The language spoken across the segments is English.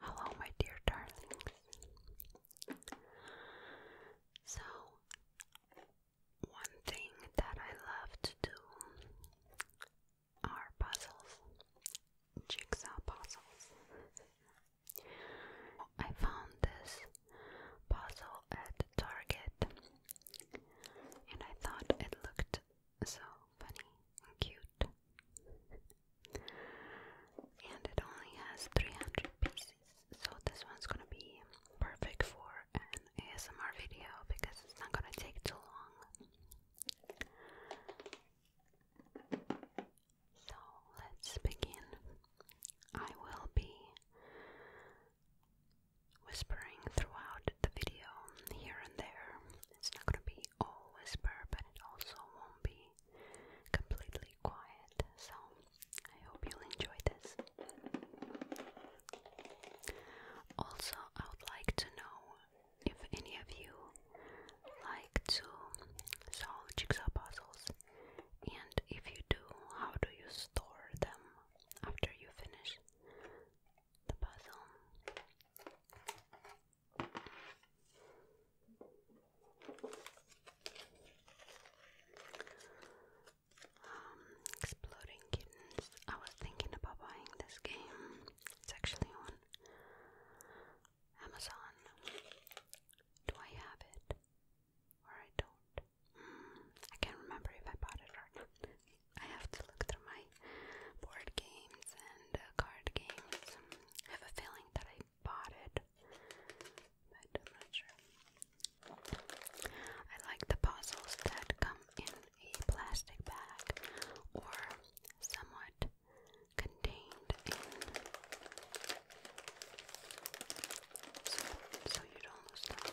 Hello, my dear darlings. So, one thing that I love to do are puzzles, jigsaw puzzles. I found this puzzle at Target and I thought it looked so funny and cute. And it only has 300 pieces so this one's gonna be perfect for an ASMR video because it's not gonna take too long. So let's begin. I will be whispering throughout the video here and there. It's not gonna be all whisper, but it also won't be completely quiet, so I hope you'll enjoy this. Also, I would like to know if any of you like to solve jigsaw puzzles, and if you do, how do you store them after you finish the puzzle? Um, exploding Kittens. I was thinking about buying this game. It's actually on Amazon. Do I have it? Or I don't? Hmm, I can't remember if I bought it or not. I have to look through my board games and uh, card games. I have a feeling that I bought it, but I'm not sure. I like the puzzles that come in a plastic bag or somewhat contained in. So, so you don't lose them.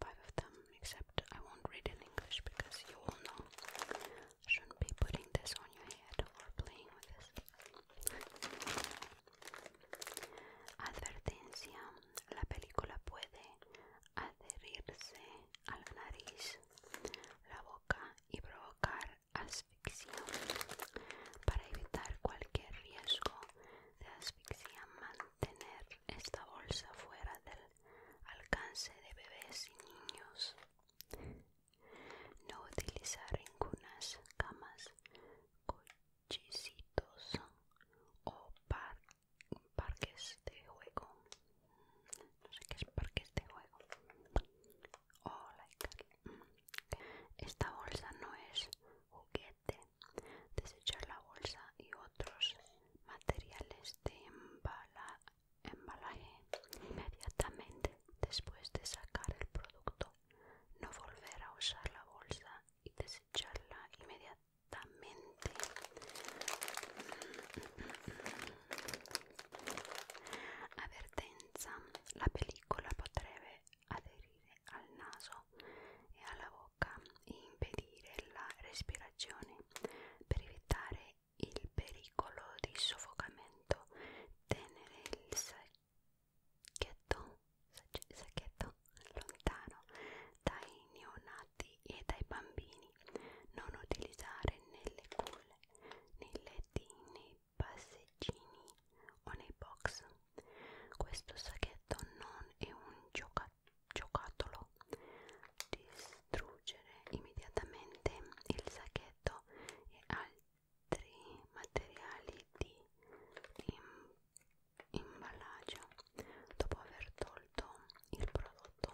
five of them, except I won't read in English because you all know shouldn't be putting this on your head or playing with this. Advertencia, la película puede adherirse a la nariz, la boca y provocar asfixia. Para evitar cualquier riesgo de asfixia, Tener esta bolsa fuera del alcance de bebés y niños. No utilizar ningunas camas, cochecitos o parques de juego. No sé qué es parques de juego. Mm, esta bolsa no es juguete desechar la bolsa y otros materiales de embalaje inmediatamente después de sacar el producto, no volver a usar la bolsa y desecharla inmediatamente. Advertencia, la película potreve aderire al naso e alla bocca e impedire la respirazione per evitare il pericolo di soffocamento tenere il sacchetto, sacchetto lontano dai neonati e dai bambini non utilizzare nelle culle nei letti nei passeggini o nei box questo sacchetto non è un gioca giocattolo. Distruggere immediatamente il sacchetto e altri materiali di im imballaggio dopo aver tolto il prodotto.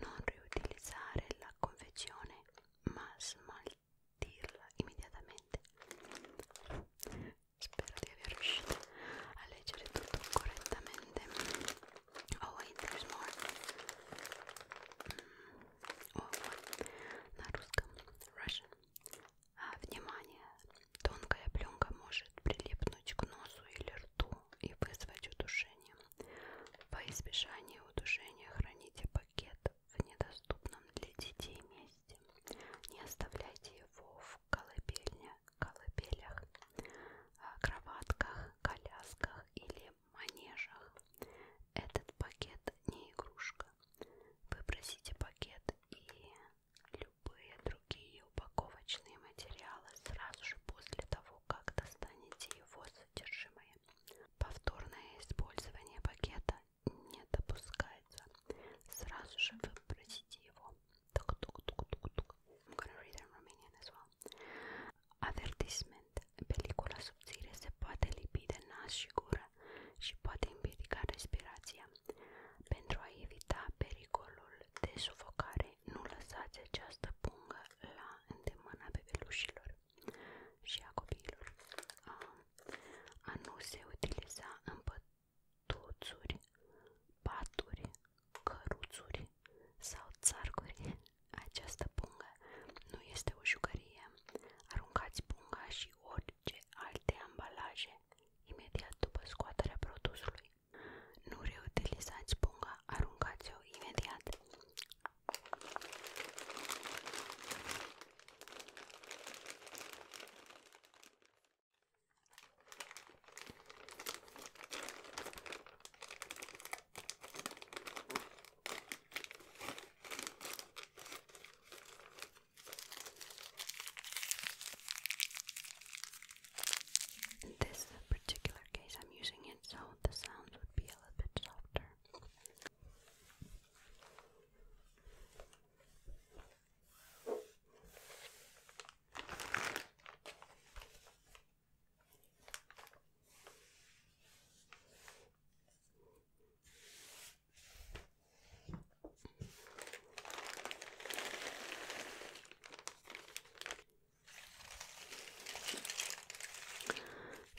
Non riutilizzare la confezione ma smaltirla immediatamente spero di aver riuscito a leggere tutto correttamente oh wait there's more mm. oh, на русском Russian а, внимание тонкая пленка может прилипнуть к носу или рту и вызвать удушение во избежание удушения храните пакет в недоступном для детей месте месте. Не оставляйте его в колыбельне, колыбелях, а, кроватках, колясках или манежах. Этот пакет не игрушка. Выбросите пакет и любые другие упаковочные материалы сразу же после того, как достанете его содержимое. Повторное использование пакета не допускается. Сразу же выбросите его. Тук-тук-тук-тук-тук. I'm gonna read in Romanian as well. Avertisment. Pelicula subțire se poate lipi de nas și gură și poate împiedica respirația. Pentru a evita pericolul de sufocare, nu lăsați această pungă la îndemâna bebelușilor și a copiilor. A, a nu se utiliza în tuțuri, paturi, căruțuri sau țarcuri. Această pungă nu este o jucărie. Aruncați punga și orice alte ambalaje imediat după scoaterea produsului. Nu reutilizați punga, aruncați-o imediat. In this particular case, I'm using it so the sound would be a little bit softer.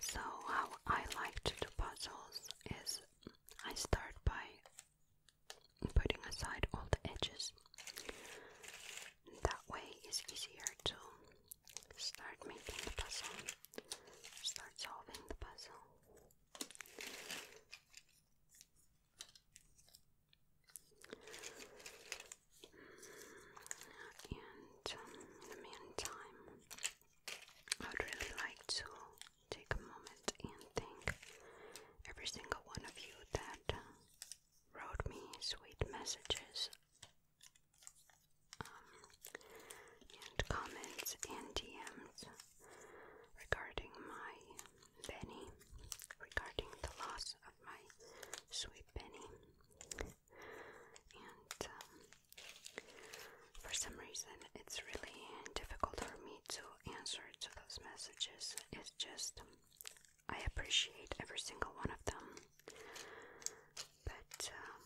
So, how I like to puzzles is I start by putting aside all the edges. That way it's easier to start making the puzzle, start solving the puzzle. And um, meantime, I would really like to take a moment and thank every single one of you that uh, wrote me sweet messages um, and comments and DMs regarding my Benny, regarding the loss of my sweet Benny. And um, for some reason, it's really difficult for me to answer to those messages. It's just um, I appreciate every single one of them, but um,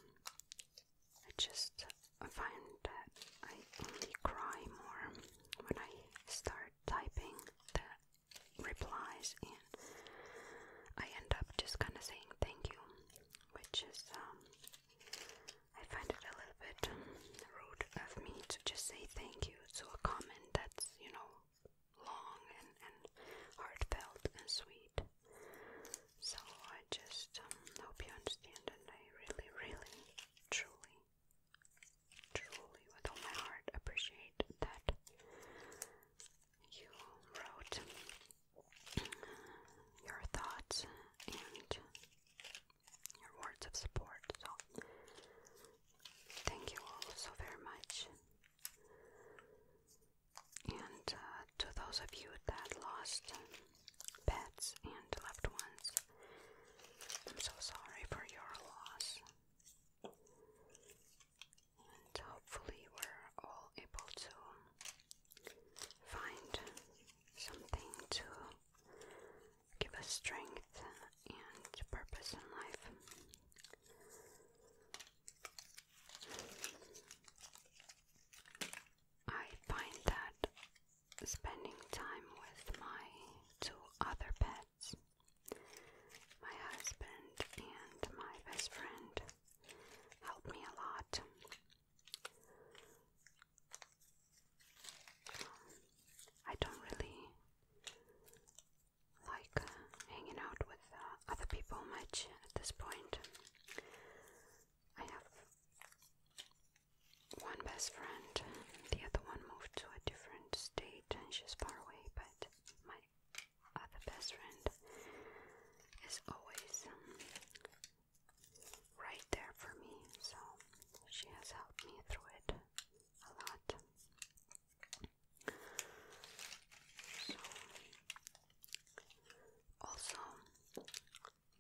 I just find that I only cry more when I start typing the replies, and I end up just kind of saying thank you, which is um, I find it a little bit rude of me to just say thank you to a comment that's, you know, long and, heartfelt and sweet. So I just um, hope you understand, and I really, really, truly, truly, with all my heart, appreciate that you wrote uh, your thoughts and your words of support. So, thank you all so very much. And uh, to those of you that lost pets and loved ones, I'm so sorry for your loss. And hopefully, we're all able to find something to give us strength and purpose in life. I find that spending time with my two other pets, my husband and my best friend, helped me a lot. I don't really like uh, hanging out with uh, other people much at this point. I have one best friend, the other one moved to a different state and she's far away, but my other best friend is always um, right there for me, so she has helped me through it a lot. also,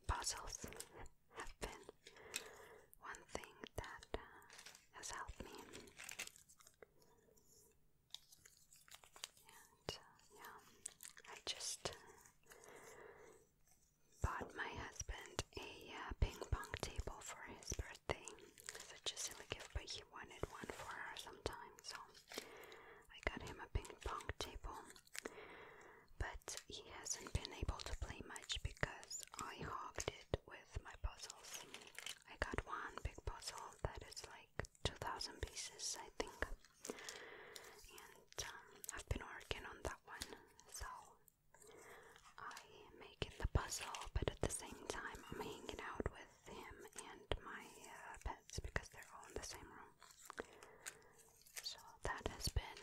puzzles have been one thing that uh, has helped me. And uh, yeah, I just bought my husband a uh, ping pong table for his birthday. Such a silly gift, but he wanted one for her sometime, so I got him a ping pong table. But he hasn't been able to play much because I hogged it with my puzzles. I got one big puzzle that is like 2000 pieces, I think and um, I've been working on that one, so I'm making the puzzle, but at the same time I'm hanging out with him and my uh, pets because they're all in the same room. So that has been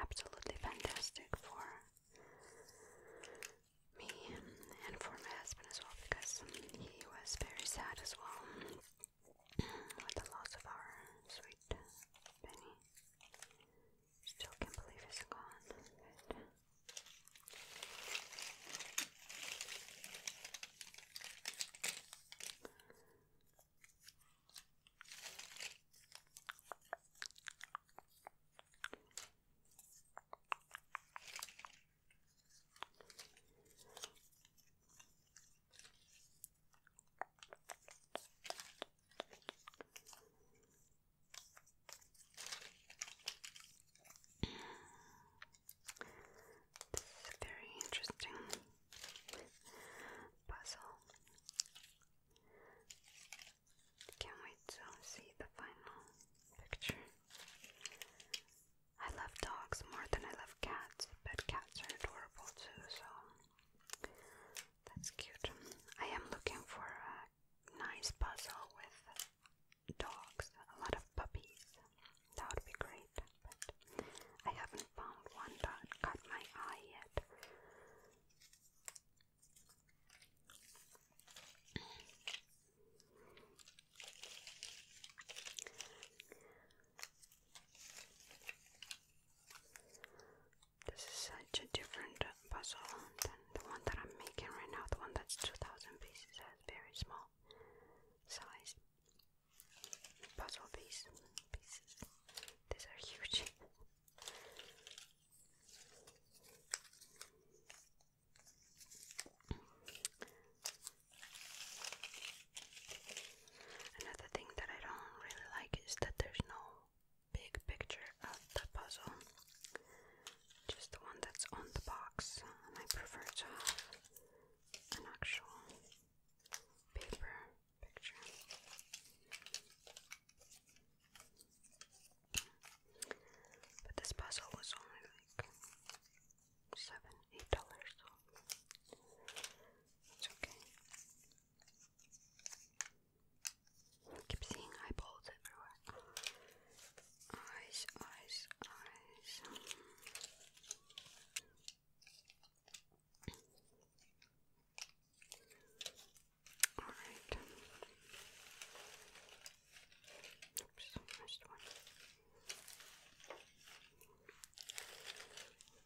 absolutely fantastic for me and for my husband as well because he was very sad as well with the loss of our sweet Benny. Still can't believe he's gone. This a very interesting puzzle. Can't wait to see the final picture. I love dogs more than I love cats, but cats are adorable too, so that's cute. I am looking for a nice puzzle with dogs, a lot of puppies. That would be great, but I haven't found one that caught my eye yet. This is such a different puzzle than the one that I'm making right now. The one that's 2000 pieces has very small size puzzle pieces. These are huge. Another thing that I don't really like is that there's no big picture of the puzzle, just the one that's on the box. I prefer to have an actual paper picture. But this puzzle was only like seven, eight dollars. So it's okay. I keep seeing eyeballs everywhere. Eyes, eyes, eyes. Alright. Oops, missed one.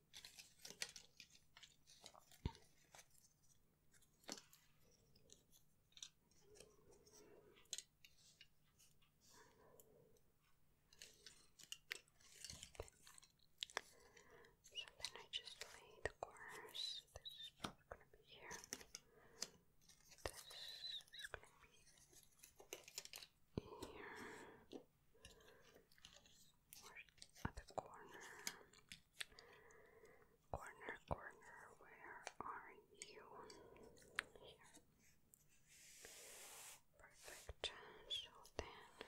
So then I just lay the corners. This is going to be here. This is going to be here. Or at the corner. Corner, corner, where are you? Here. Perfect. So then.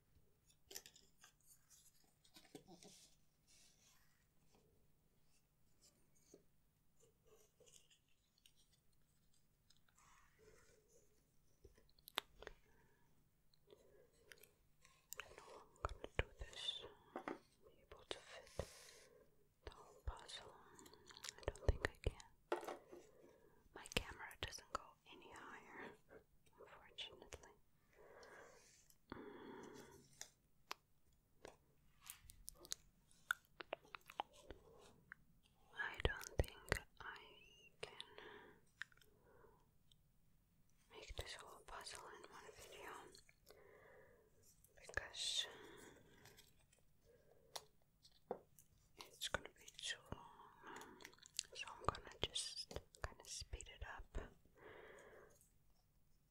I do know I'm going to do this, be able to fit the whole puzzle, I don't think I can. My camera doesn't go any higher unfortunately. Mm. I don't think I can make this whole puzzle in one video because it's gonna be too long, so I'm gonna just kind of speed it up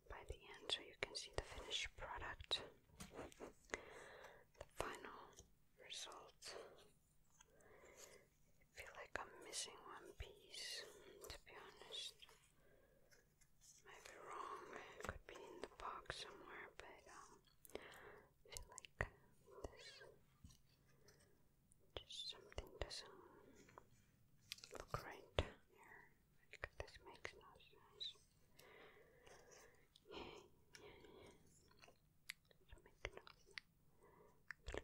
by the end so you can see the finished product, the final result. I feel like I'm missing one piece, to be honest. Maybe wrong, could be in the box somewhere, but um, I feel like just something doesn't look right here. this makes no sense. Yeah, yeah, yeah.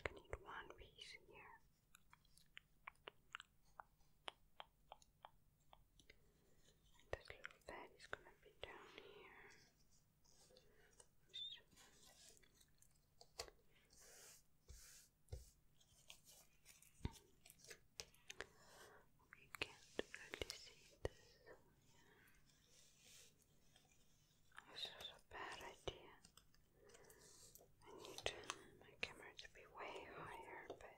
need one piece here. This little bed is gonna be down here. We can't really see this. This is a bad idea. I need my camera to be way higher, but.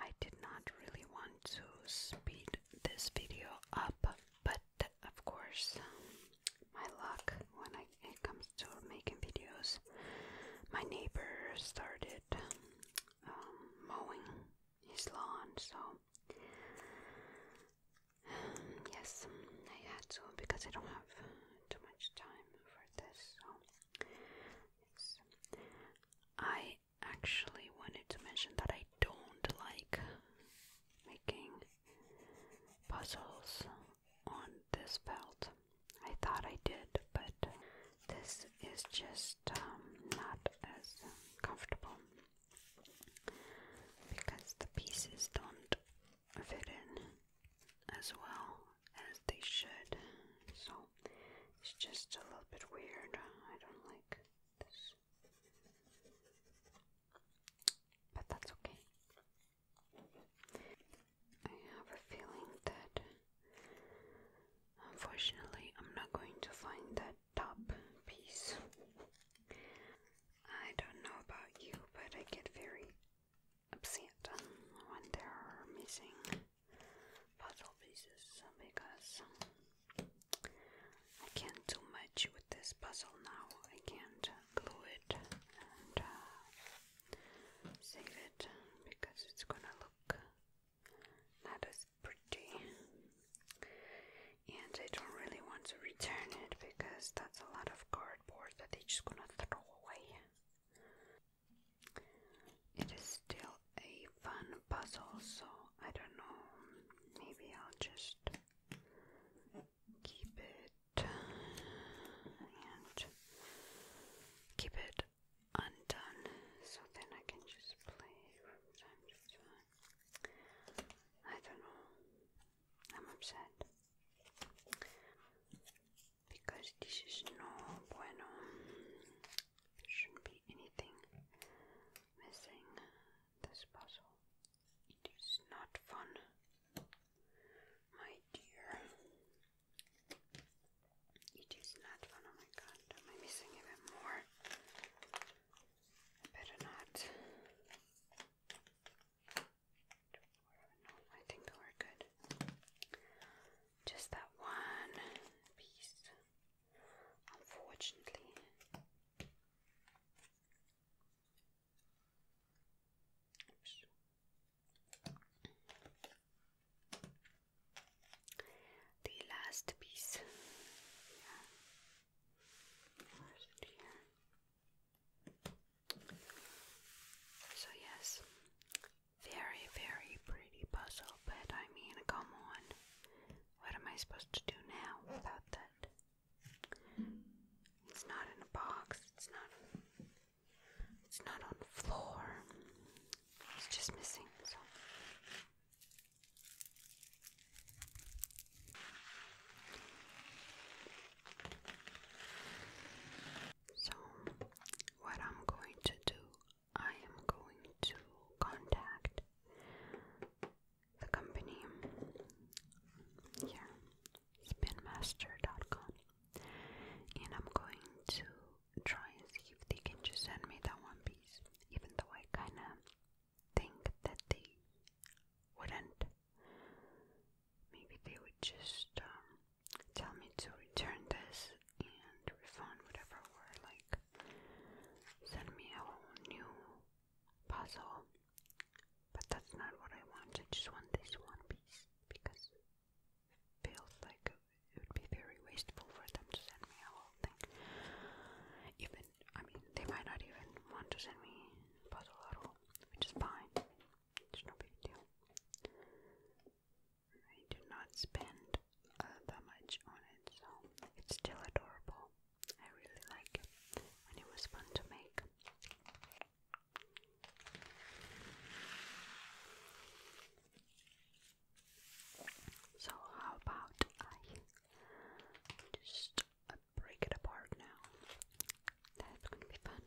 I did not really want to speed this video up, but of course, my luck when it comes to making videos, my neighbor started um, mowing his lawn, so yes, I had to because I don't have too much time for this. So I actually wanted to mention that I don't like making puzzles on this belt. I thought I did, but this is just um, not as comfortable because the pieces don't fit in as well as they should. So it's just a little bit weird. I don't like this. But that's okay. I have a feeling that unfortunately I'm not going to find that top piece. I don't know about you, but I get very upset when there are missing puzzle pieces because I can't do much with this puzzle now. I can't glue it and uh, save it because it's gonna look not as pretty. And I don't really want to return it because that's a lot of cardboard that they're just gonna throw away. It is still a fun puzzle, so I don't know. Maybe I'll just keep it and keep it undone so then I can just play from time to time. I don't know. I'm upset because this is no bueno. There shouldn't be anything missing this puzzle. It is not fun, my dear. It is not fun. Oh my god, am I missing even more? better not. I think they were good. Just that one piece, unfortunately. The last piece So, yes, very, very pretty puzzle, but I mean, come on. What am I supposed to do now without that? It's not in a box. It's not. It's not on the floor. It's just missing. So. what I'm going to do, I am going to contact the company here, spinmaster.com, and I'm going to try and see if they can just send me that one piece, even though I kind of think that they wouldn't. Maybe they would just um, tell me to return this and refund whatever, or like send me a new puzzle, but that's not what I want. I just want this one piece because feels like it would be very wasteful for them to send me a whole thing. Even, I mean, they might not even want to send me puzzle at all, which fine. It's no big deal. I do not spend uh, that much on it, so it's still adorable. I really like it, and it was fun to make. So, how about I just break it apart now? That's going to be fun.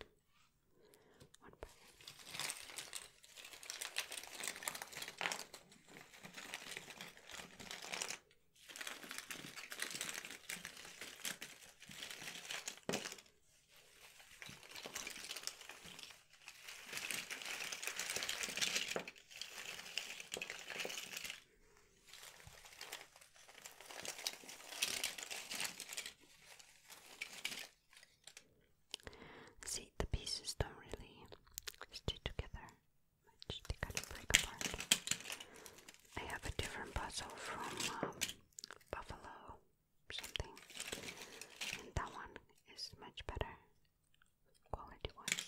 See, the pieces don't really stay together I have a different puzzle from um, Buffalo something, and that one is much better quality wise.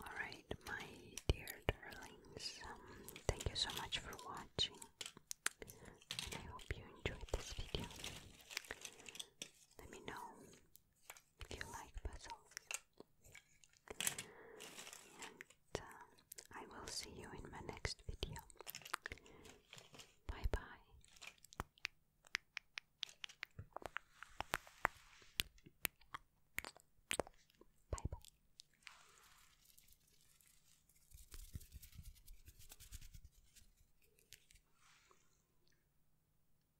Alright, my dear darlings, um, thank you so much for watching, I hope you enjoyed this video. Let me know you like puzzles. And uh, I will see you in my next video. Bye bye. Bye bye.